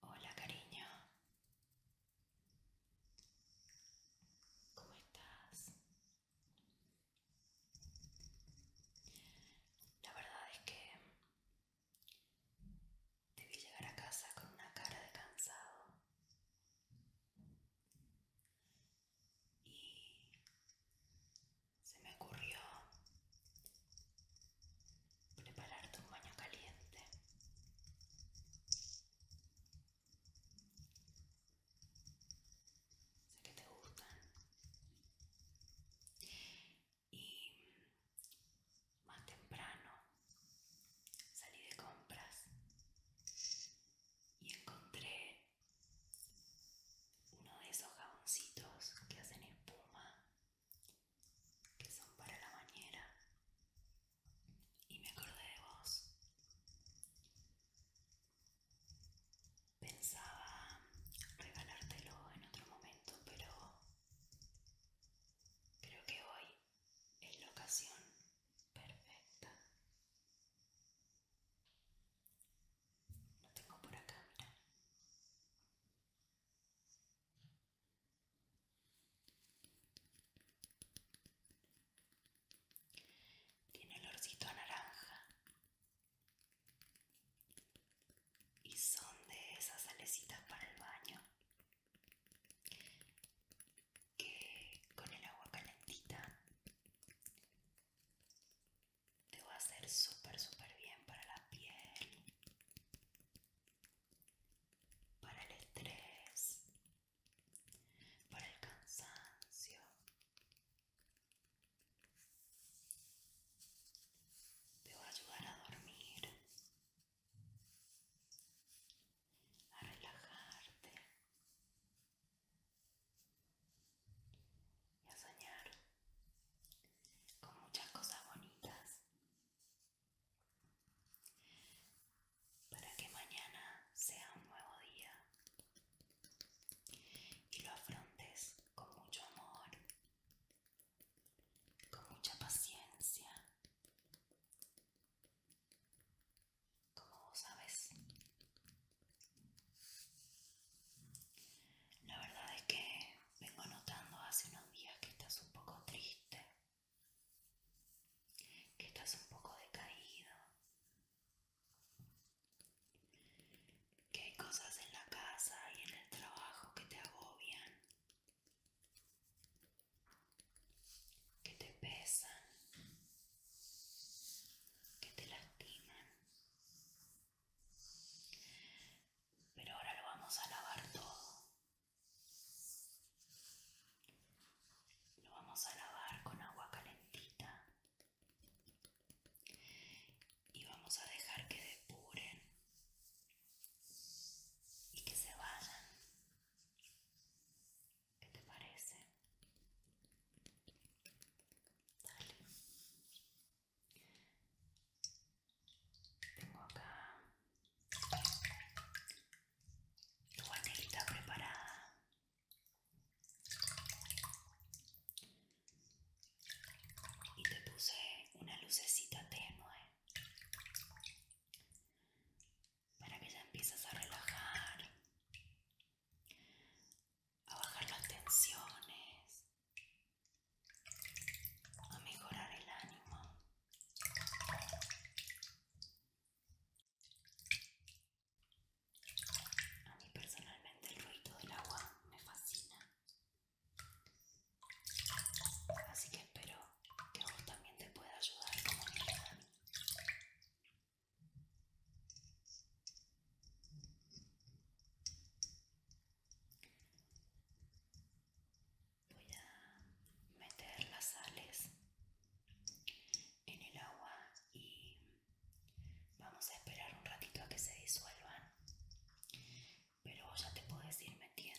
Hola, cariño. ¿Cómo estás? La verdad es que debí llegar a casa con una cara de cansado y se me ocurrió prepararte un baño caliente sé que te gustan y más temprano salí de compras y encontré uno de esos jaboncitos que hacen espuma que son para la bañera y me acordé de vos. Pensaba regalártelo en otro momento, pero creo que hoy es la ocasión perfecta. Lo tengo por acá, mira. Tiene olorcito a naranja. Y son de esas salecitas para el baño. Que con el agua calentita te va a hacer súper, súper bien para la piel, para el estrés, para el cansancio te va a ayudar a dormir a relajarte y a soñar con muchas cosas bonitas para que mañana sea un nuevo día y lo afrontes con mucho amor, con mucha paciencia. Como vos sabes, la verdad es que vengo notando hace unos días que estás un poco triste que estás un poco decaído, que hay cosas en la casa y en el trabajo que te agobian, que te pesan, que te lastiman. Pero ahora lo vamos a lavar todo. Lo vamos a lavar con agua calentita y vamos a dejar que depuren y que se vayan. ¿Qué te parece? Dale. Tengo acá tu panelita preparada y te puse una lucecita tenue para que ya empieces a relajar, a bajar las tensiones, a mejorar el ánimo. A mí personalmente el ruido del agua me fascina. Así que espero que vos también te pueda ayudar como mi hermano. Voy a meter las sales en el agua y vamos a esperar un ratito a que se disuelvan pero ya te puedes ir metiendo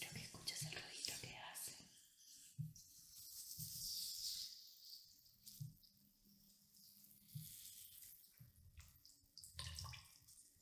Quiero que escuches el ruido que hace.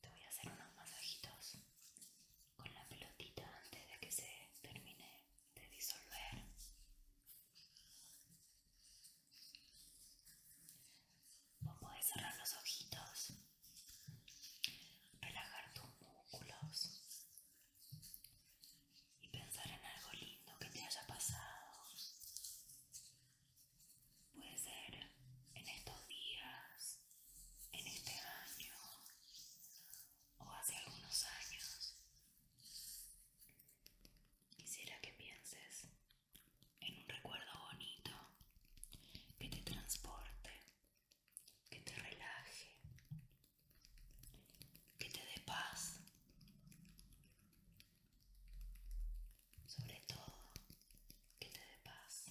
Te voy a hacer unos masajitos con la pelotita antes de que se termine de disolver. Puedes cerrar los ojitos, relajar tus músculos y pensar en algo lindo que te haya pasado. Puede ser en estos días, en este año o hace algunos años. Quisiera que pienses en un recuerdo bonito que te transporte, que te relaje, que te dé paz. Sobre todo, que te dé paz.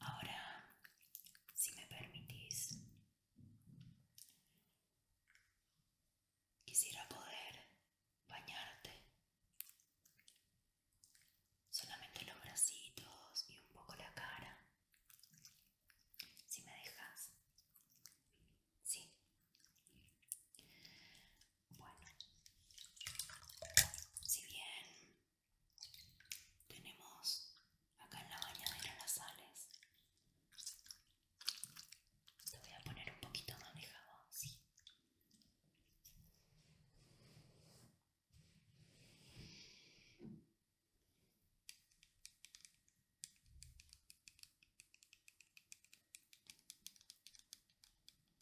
Ahora, si me permitís, quisiera poder bañarte. Solamente los bracitos y un poco la cara. Si me dejas. Sí. Bueno, si bien tenemos acá en la bañadera las sales, te voy a poner un poquito manejado de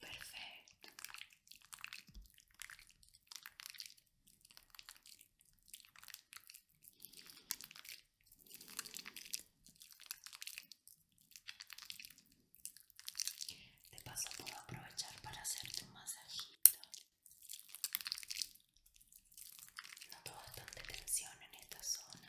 Perfecto. De paso puedo aprovechar para hacerte un masajito. Noto bastante tensión en esta zona.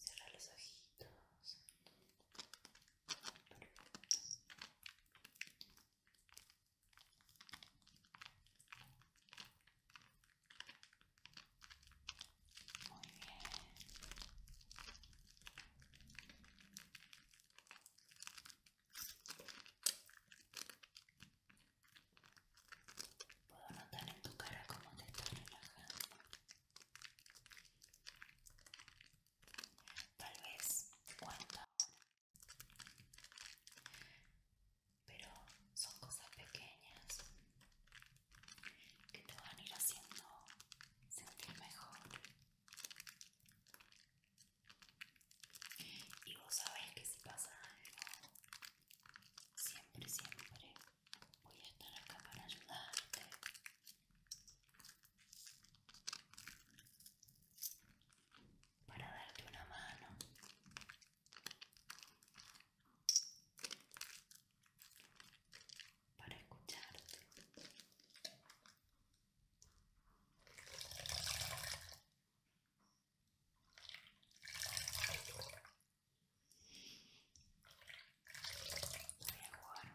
Cierra los ojitos. Muy bien. Puedo notar en tu cara cómo te estás relajando tal vez te pero son cosas pequeñas que te van a ir haciendo sentir mejor y vos sabés que si pasa algo siempre siempre voy a estar acá para ayudarte para darte una mano. Para escucharte. Voy a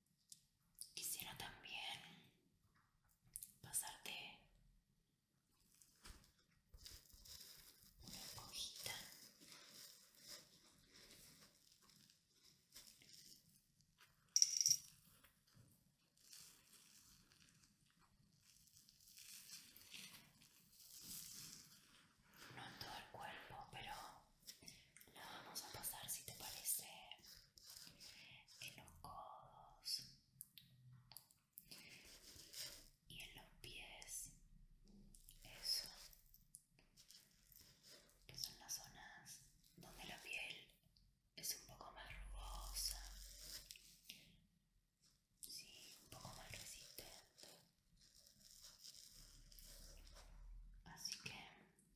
Quisiera también pasarte una esponjita no en todo el cuerpo, pero la vamos a pasar si te parece en los codos y en los pies, eso, que son las zonas donde la piel es un poco más rugosa, sí, un poco más resistente. Así que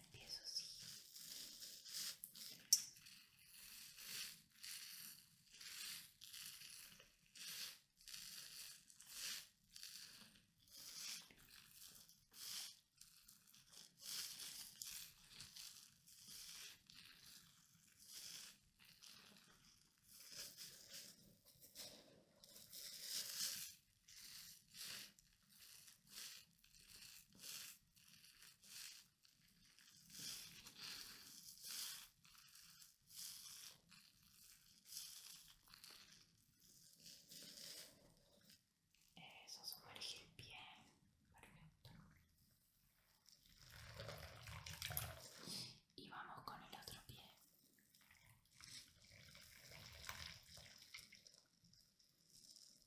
Empiezo así. Eso sumergir bien, perfecto. Y vamos con el otro pie.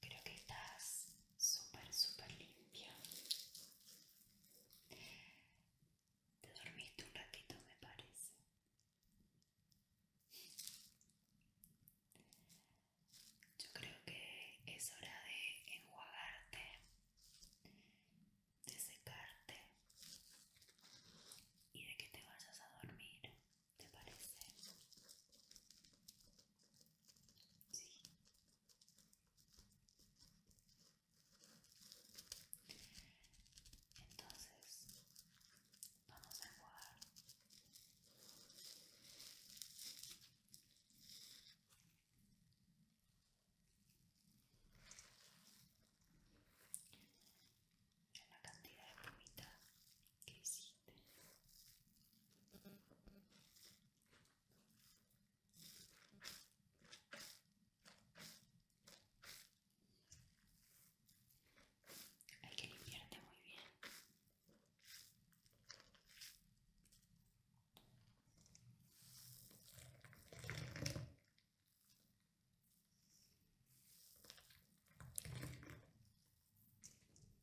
Creo que estás súper, súper limpia. Te dormiste un ratito, me parece. Yo creo que es hora de enjuagarte, de secarte y de que te vayas a dormir. ¿Te parece? Sí. Entonces, vamos a jugar. En la cantidad de plumita que hicimos. Hay que limpiarte muy bien.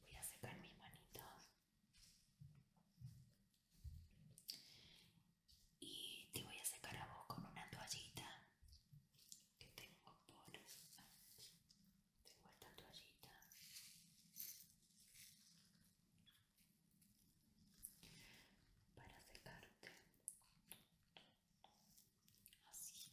Voy a secar mis manitos y te voy a secar a vos con una toallita que tengo por tengo esta toallita para secarte así así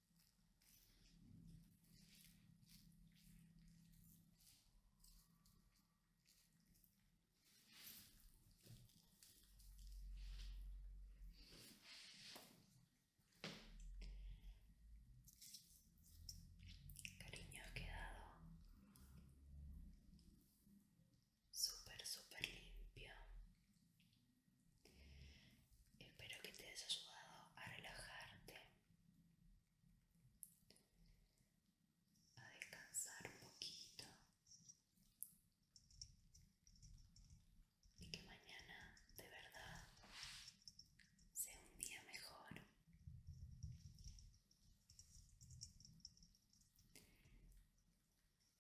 Cariño, ha quedado súper, súper limpio. Espero que te hayas ayudado a relajarte a descansar un poquito y que mañana de verdad sea un día mejor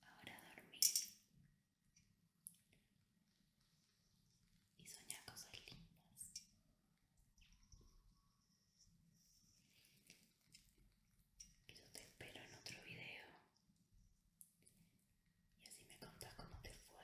ahora dormir y soñar cosas lindas yo te espero en otro video. Y así me contás cómo te fue.